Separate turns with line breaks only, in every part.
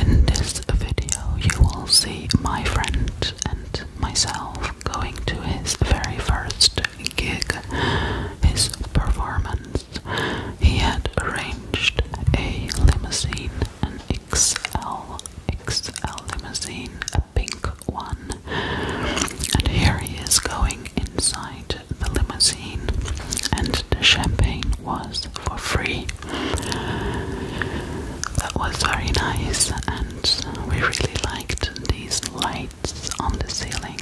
In this video, you will see my friend and myself going to his very first gig, his performance. He had arranged a limousine, an XL, XL limousine, a pink one, and here he is going inside the limousine, and the champagne was for free. That was very nice, and we really liked these lights on the ceiling.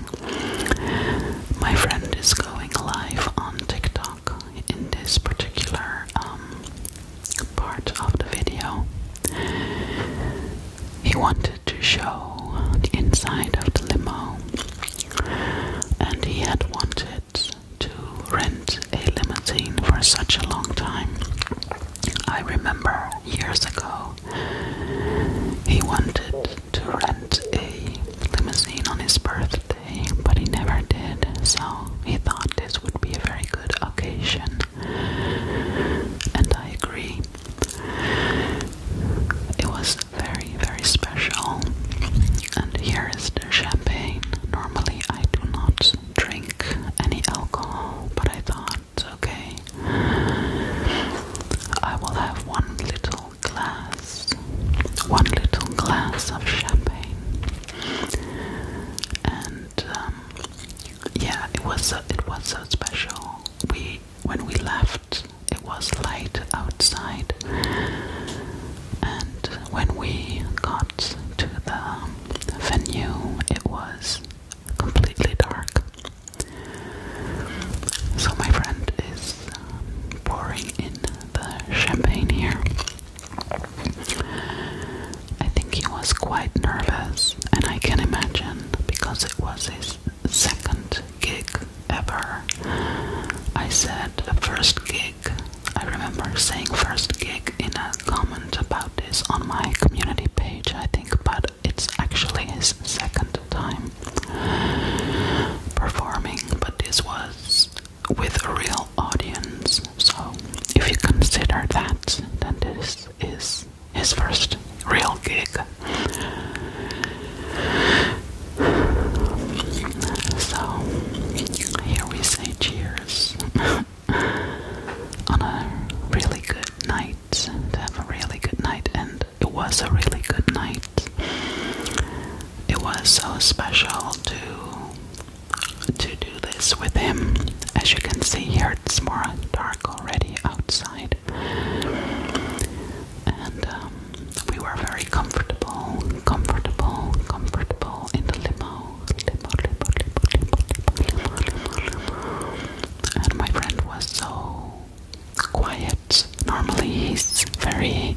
My friend is going live on TikTok in this particular um, part of the video. He wanted to show the inside of the limo, and he had wanted to rent a limousine for such a long time. I remember years ago he wanted to rent a limousine on his birthday, but he never did, so he thought this would be a very good occasion. And I agree. It was very, very special special. And here is the champagne. Normally, I do not drink any alcohol, but I thought, okay, I will have one little glass, one little glass of champagne. And um, yeah, it was it was so special. We when we left, it was light outside. And when we got to the venue, it was completely dark. So my friend is um, pouring in the champagne here. I think he was quite nervous, and I can imagine because it was his second gig ever. I said first gig. I remember saying first gig in a comment about this on my community page, I think, but it's actually his second time performing, but this was with a real audience. So if you consider that, then this is his first real gig. So here we say cheers on a really good night. To have a really good night, and it was a really good night. It was so special to to do this with him. As you can see here, it's more dark already outside, and um, we were very comfortable, comfortable, comfortable in the limo. Limo, limo, limo, limo, limo, limo, limo. And my friend was so quiet. Normally he's very,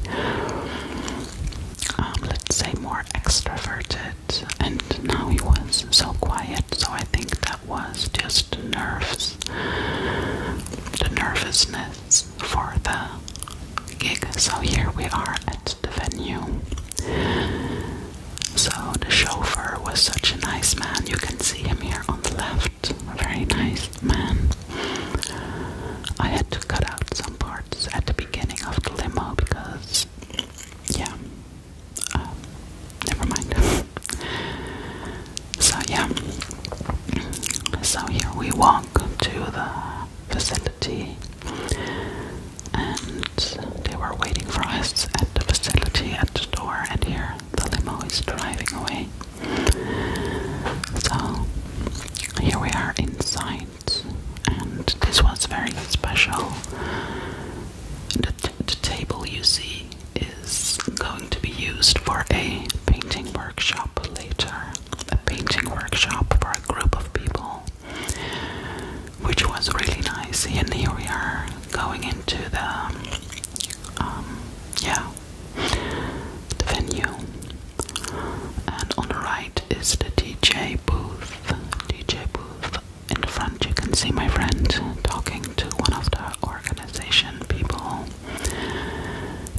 um, let's say, more extroverted, and now he was so quiet. So I think that was just nerves, the nervousness for the gig. So here we are at the venue. So the chauffeur was such a nice man. You can see him here on the left. A very nice man. I had to cut out some parts at the beginning of the limo because, yeah, uh, never mind. so yeah, so here we walk to the facility, and they were waiting for us at the facility at the door. And here the limo is driving away. So here we are inside, and this was very special. The, the table you see is going to be used for a painting workshop later a painting workshop for a group of people, which was really nice. And here we are going into the, um, yeah, the venue. And on the right is the DJ booth. DJ booth. In the front, you can see my friend talking to one of the organization people.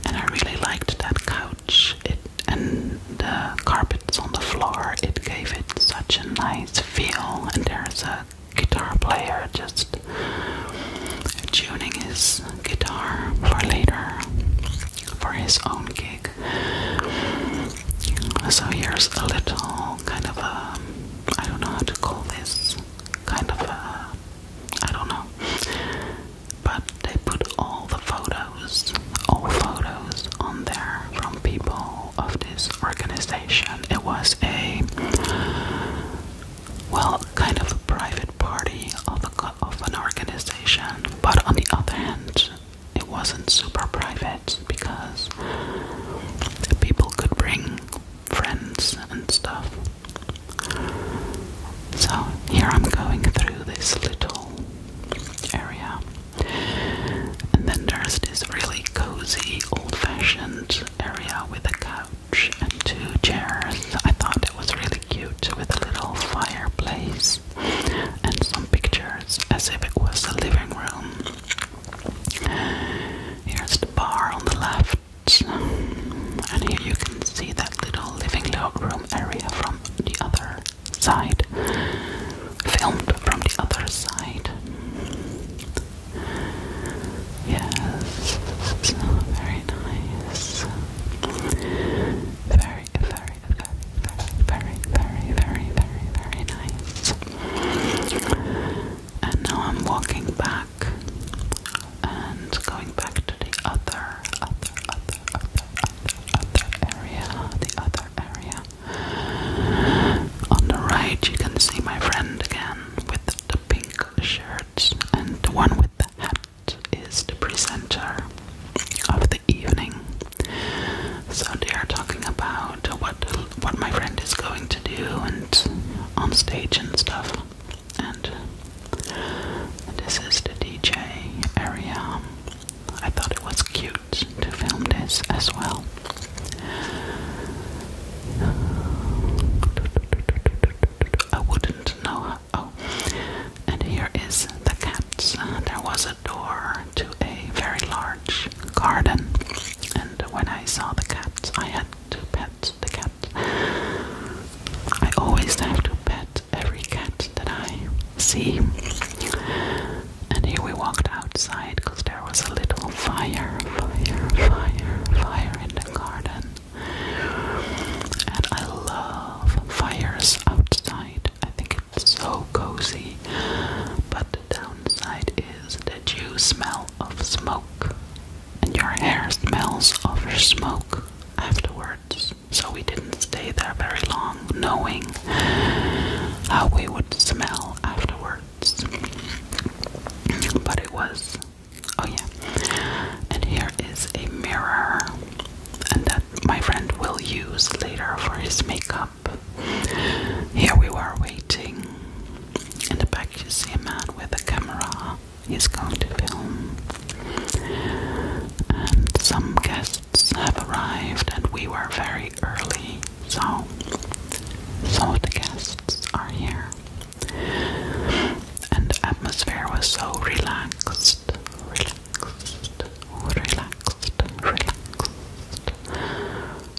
And I really liked that couch it, and the carpets on the floor. It gave it such a nice feel. And there's a guitar player just tuning his guitar for later for his own gig. So here's a little kind of a I don't know how to call this kind of a I don't know but they put all the photos, all photos on there from people of this organization. It was a, well, kind of a private party of, of an organization. But on the other hand, it wasn't super private because people could bring friends and stuff. So here I'm going through this little area, and then there's this really cozy, old-fashioned area with a couch and two chairs. I thought it was really cute with a little fireplace and some pictures, as if it was a living room. Here's the bar on the left, and here you can see that little living log room area from the other side, filmed from the other side. Yes, very nice. Very, very, very, very, very, very, very, very nice. And now I'm walking back and going back to the other, other, other, other, other, other area, the other area. On the right, you can see my friend again with the pink shirts, and the one with the hat is the presenter of the evening. So they are talking about what what my friend is going to do and on stage and stuff and this is the DJ area. I thought it was cute to film this as well. I wouldn't know. Oh, and here is the cats. There was a door to a very large garden, and when I saw the cats, I had to pet the cat. I always have to pet every cat that I see. And here we walked outside because there was a little fire, fire, fire, fire in the garden. And I love fires outside. I think it's so cozy. But the downside is that you smell of smoke and your hair smells of smoke afterwards. So we didn't stay there very long, knowing how we would smell afterwards. But it was, oh yeah. And here is a mirror, and that my friend will use later for his makeup. Here we were waiting. In the back, you see a man with a camera He's going to film. And some guests have arrived, and we were very early, so some of the guests are here. And the atmosphere was so relaxed, relaxed, relaxed, relaxed,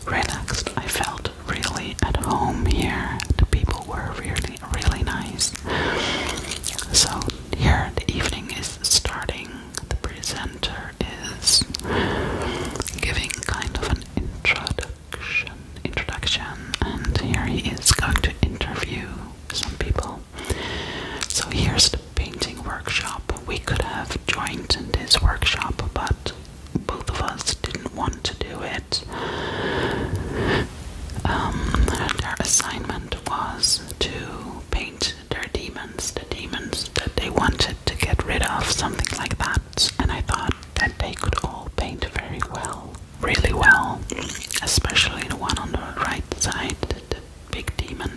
relaxed. I felt really at home here. The people were really really nice. So here the evening is starting. The presenter is giving kind of an introduction introduction and here he is going to interview some people. So here's the painting workshop. We could have joined in this workshop but both of us didn't want to do it um, their assignment was to paint their demons, the demons that they wanted to get rid of, something like that. And I thought that they could all paint very well, really well, especially the one on the right side, the, big demon.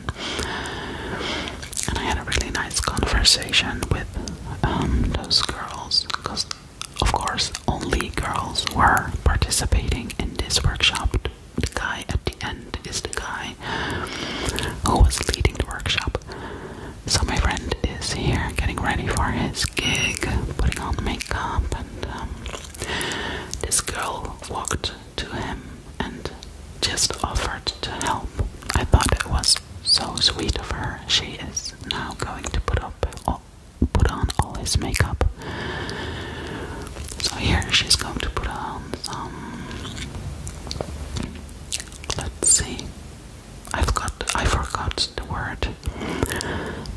And I had a really nice conversation with um, those girls because of course, only girls were participating in this workshop. The guy at the end is the guy who was leading the workshop. So, my friend is here getting ready for his gig, putting on makeup, and um, this girl walked to him and just offered to help. I thought it was so sweet of her. She is now going to put up put on all his makeup. So here she's going to put on some. Let's see. I've got. I forgot the word.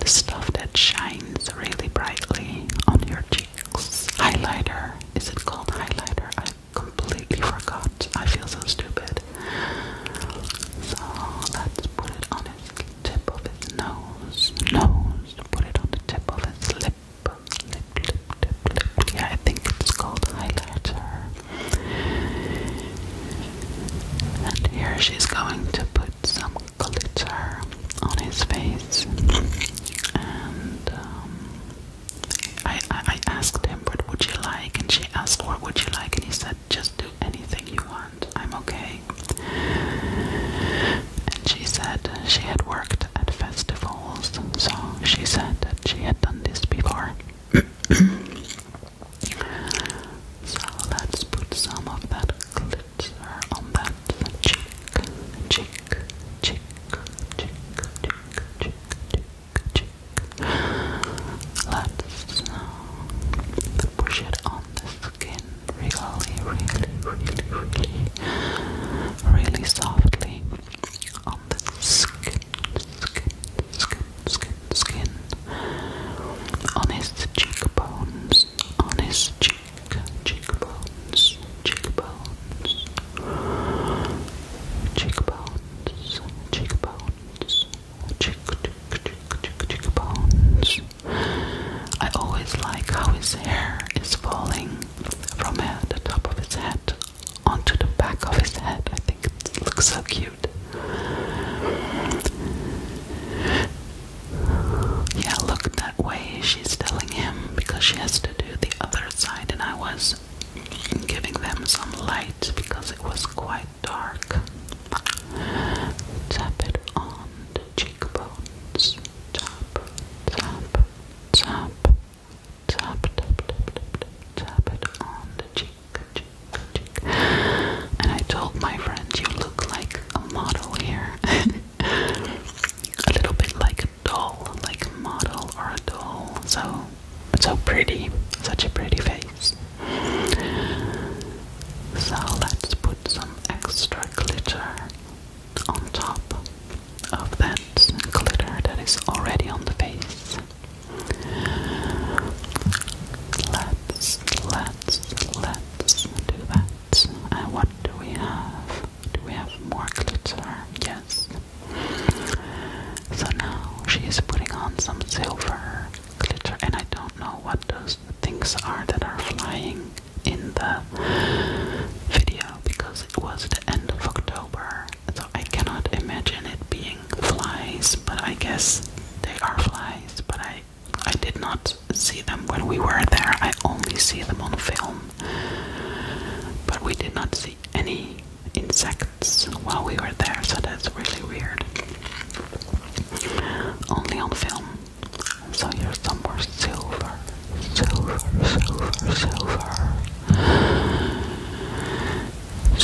The stuff that shines really brightly on your cheeks. Highlighter. Is it called highlighter? I completely forgot. I feel so stupid. So let put it on his tip of his nose. Nose. Put it on the tip of his lip. Lip, lip, lip, lip. Yeah, I think it's called highlighter. And here she's going to put some glitter on his face. And um, I, I asked him what would you like, and she asked what would you like, and he said just do anything you want and I'm okay. And she said she had worked at festivals, so she said that she had done this before. so let's put some of that glitter on that cheek, cheek, cheek, cheek, cheek, cheek, cheek, Let's push it on the skin really, really, really, really, really softly on the skin, skin, skin, skin, skin, on his cheekbones, on his cheek, cheekbones, cheekbones, cheekbones, cheekbones. Chick, chick, chick, chick, bones. I always like how his hair is falling from uh, the top of his head onto the back of his head. I think it looks so cute. Yeah, look that way, she's telling him, because she has to do the other side, and I was giving them some light because it was quite dark. Tap it on the cheekbones. Tap, tap, tap, tap, tap, tap, tap, tap it on the cheek, cheek, cheek. And I told my friend, you look like a model here. a little bit like a doll, like a model or a doll. So so pretty, such a pretty face. So let's put some extra glitter on top of that glitter that is already on the face. Let's, let's, let's do that. And what do we have? Do we have more glitter? Yes. So now she is putting on some silver glitter, and I don't know what those things are that are flying in the video because it was the end of October, so I cannot imagine it being flies, but I guess they are flies, but I I did not see them when we were there. I only see them on film. But we did not see any insect birds while we were there, so that's really weird. Only on film. So here's some more silver, silver, silver, silver, silver,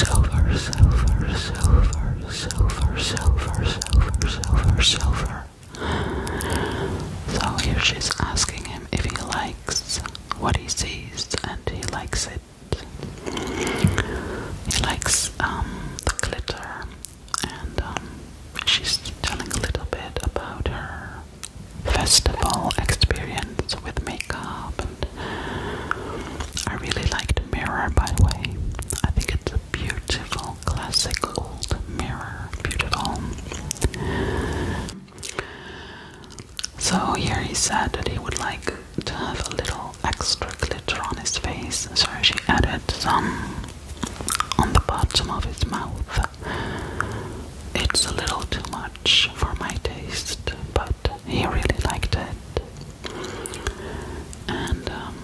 silver, silver, silver, silver, silver, silver, silver. So here she's asking him if he likes what he sees, and he likes it. He likes um, the glitter, and um, she's telling a little bit about her festival experience with makeup. I really like the Mirror, by the way. I think it's a beautiful, classic old mirror. Beautiful. So here he said that he would like to have a little extra glitter on his face, so she added some on the bottom of his mouth. It's a little too much for my taste, but he really liked it. And um,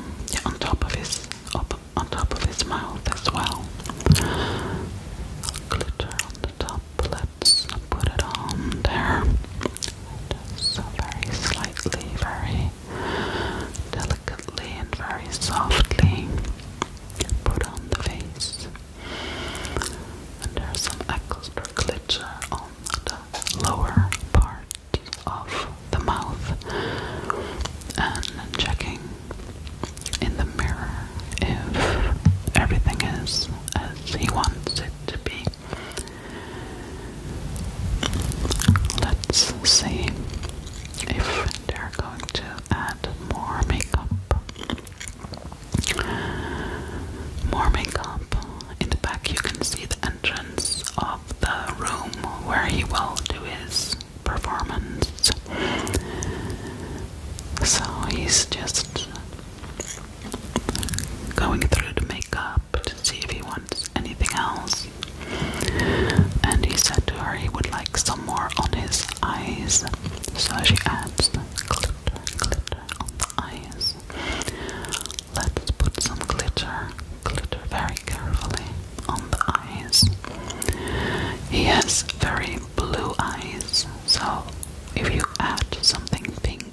on top of his on top of his mouth as well, glitter on the top left let's put it on there. Just very slightly, very delicately and very softly put on the face. And there's some extra glitter on the lower part of the mouth. And checking in the mirror if everything is as he wants it to be. Let's see if they're going to add more makeup. More makeup. In the back, you can see the entrance of the room where he will do his performance. So he's just going through the makeup to see if he wants anything else. And he said to her he would like some more on his eyes. So she adds glitter, glitter on the eyes. Let's put some glitter, glitter very carefully on the eyes. He has very blue eyes, so if you add something pink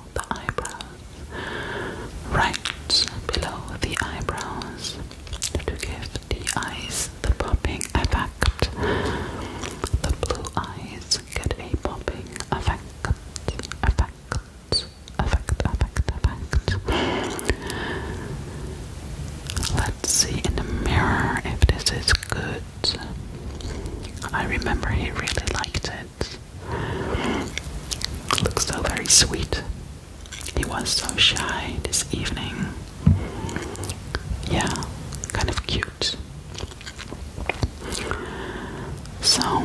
the eyebrows, right below the eyebrows to give the eyes the popping effect. The blue eyes get a popping effect, effect, effect, effect, effect. Let's see in the mirror if this is good. I remember he really liked it. It looked so very sweet. He was so shy this evening. Yeah, kind of cute. So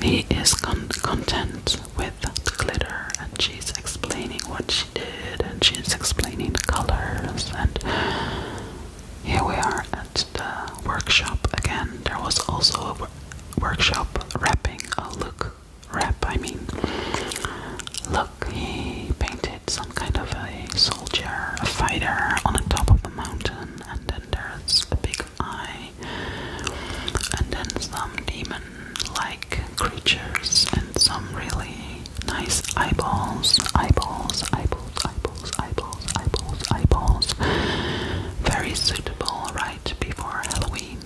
he is content with glitter, and she's explaining what she did, and she's explaining the colors. And here we are at the workshop again. There was also a, workshop wrapping a look wrap I mean look he painted some kind of a soldier a fighter on the top of the mountain and then there's a big eye and then some demon like creatures and some really nice eyeballs eyeballs eyeballs eyeballs, eyeballs, eyeballs, eyeballs, Very suitable right before Halloween.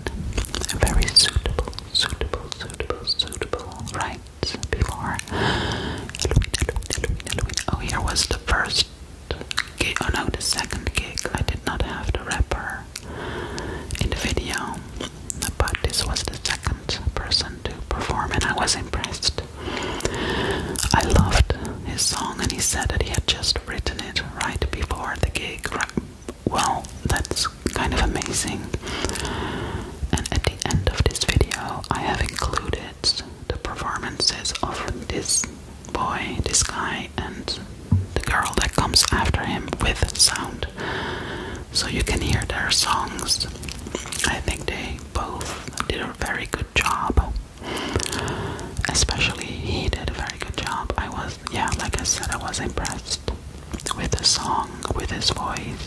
Very suitable, suitable, suitable, suitable right before Halloween. Oh, here was the first gig. Oh no, the second gig. I did not have the rapper in the video, but this was the second person to perform, and I was impressed. I loved his song, and he said that he had just written it right before the gig. Well, that's kind of amazing. And at the end of this video, I have included the performances of this boy, this guy, and the girl that comes after him with sound. So you can hear their songs. I think they both did a very good job. Especially, he did a very good job. I was, yeah, like I said, I was impressed with the song, with his voice.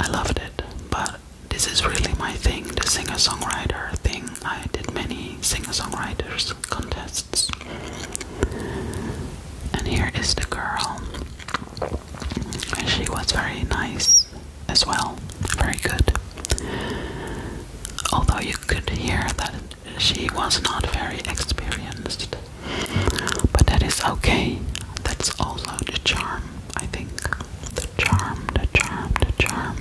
I loved it, but this is really my thing the singer songwriter thing. I did many singer songwriters contests. And here is the girl. and She was very nice as well. Very good. Although you could hear that she was not very experienced. But that is okay. That's also the charm, I think. The charm, the charm, the charm.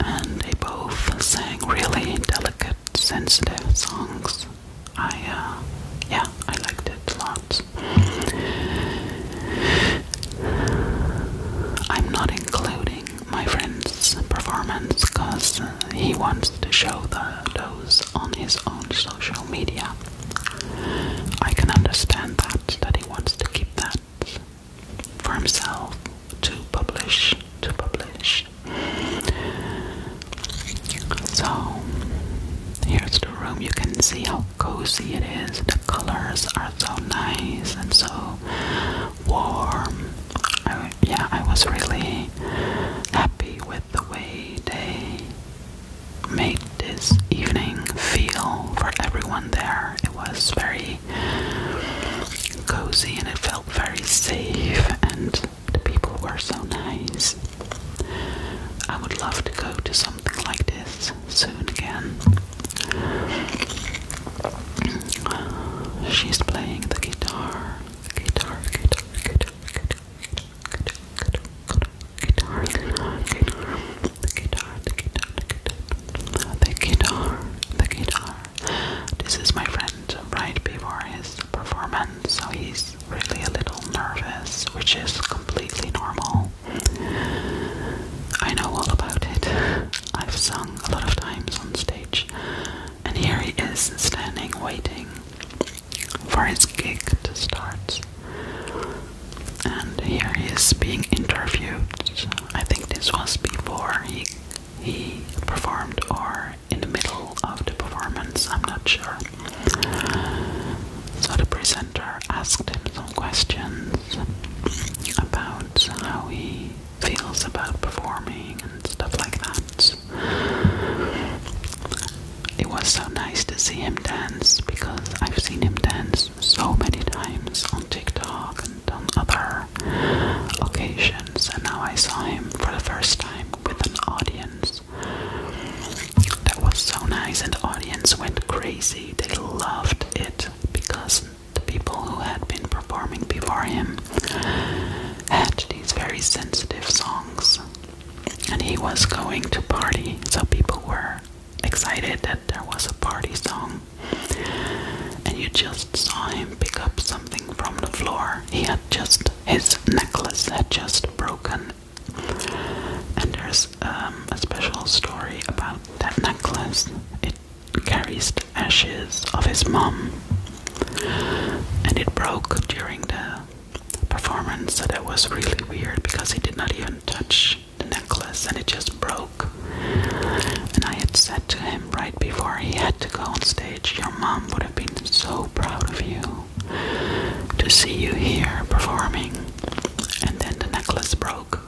And they both sang really delicate, sensitive songs. I, uh, yeah, I liked it did lots. I'm not including my friend's performance because he wants to show the, those on his own social media. I can understand that, that he wants to keep that for himself to publish, to publish. So, here's the room. You can see how cozy it is. The colors are so nice and so warm. I, yeah, I was really happy with the way they made this evening feel for everyone there. It was very cozy and it felt very safe, and the people were so nice. I would love to go to something like this soon again. She's playing the guitar, guitar, guitar, guitar, guitar, guitar, guitar, guitar, guitar, the guitar, the guitar, the guitar, the guitar. This is my friend right before his performance, so he's really a little nervous, which is completely normal. I know all about it. I've sung a lot of times on stage, and here he is standing waiting for his gig to start. And here he is being interviewed. I think this was before he he performed or in the middle of the performance, I'm not sure. So the presenter asked him some questions about how he feels about performing and stuff like that. It was so nice to see him dance because I've seen him dance so many times on TikTok and on other occasions, and now I saw him for the first time with an audience. That was so nice, and the audience went crazy. They loved it because the people who had been performing before him had these very sensitive songs, and he was going to party, so people were excited that there was a party song. And you just saw him pick up something from the floor. He had just his necklace had just broken and there's um, a special story about that necklace. It carries the ashes of his mom, and it broke during the performance. So that was really weird because he did not even touch the necklace, and it just broke. And I had said to him right before he had to go on stage, "Your mom would have been so proud of you." to see you here performing. And then the necklace broke.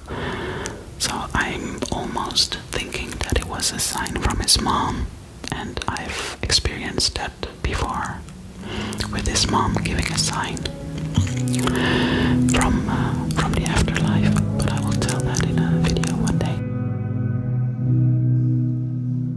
So I'm almost thinking that it was a sign from his mom, and I've experienced that before with his mom giving a sign from uh, from the afterlife. But I will tell that in a video one day.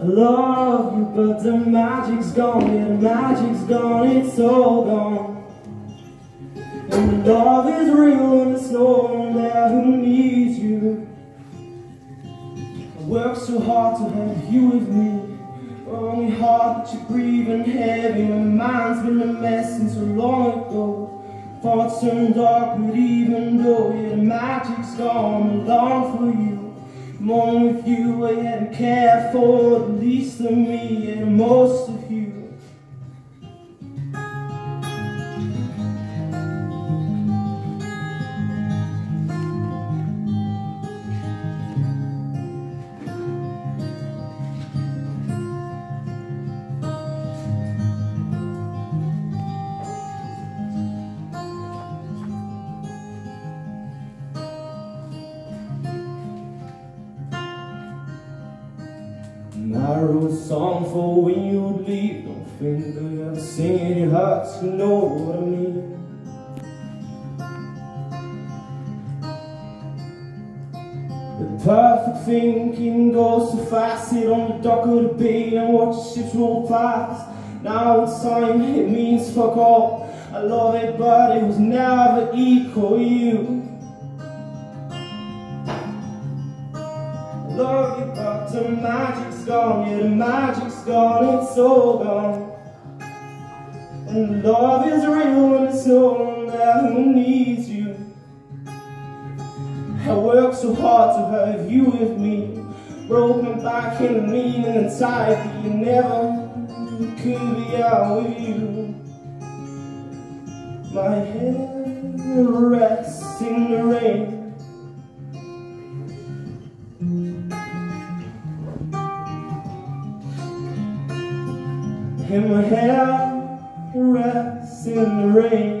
I love you, but the magic's gone, yeah, the magic's gone, it's all gone. And the love is real and it's no one there who needs you. I worked so hard to have you with me. Only heart that you're breathing heavy. My mind's been a mess since so long ago. Thoughts turn dark, but even though you the magic she's gone long for you. Mourn with you and care for at least of me and most of you. I wrote a song for when you leave Don't think that you ever sing your heart You know what I mean The perfect thinking goes so fast Sit on the dock of the bay and watch ships roll past. Now it's time, it means fuck all. I love it, but it was never equal you. I love you, but the magic's gone. Yeah, the magic's gone, it's all gone. And love is real and it's no one who needs you. I worked so hard to have you with me. Broken back and mean and tired, you never could be out with you. My head rests in the rain. And my hair rests in the rain.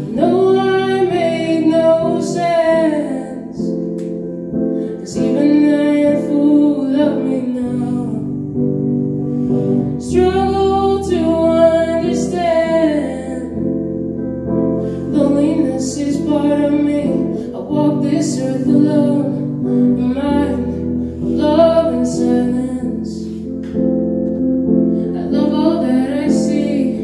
know I made no sense Cause even that fool loved me now Struggle to understand Loneliness is part of me I walk this earth alone Mind, love and silence I love all that I see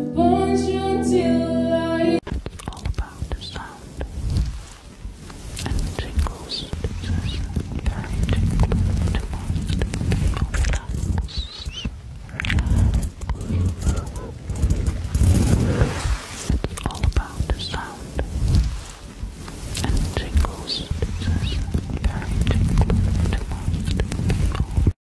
All about the sound and tingles. This is very tingling to most It's all about the sound and tingles. This is very tingling to most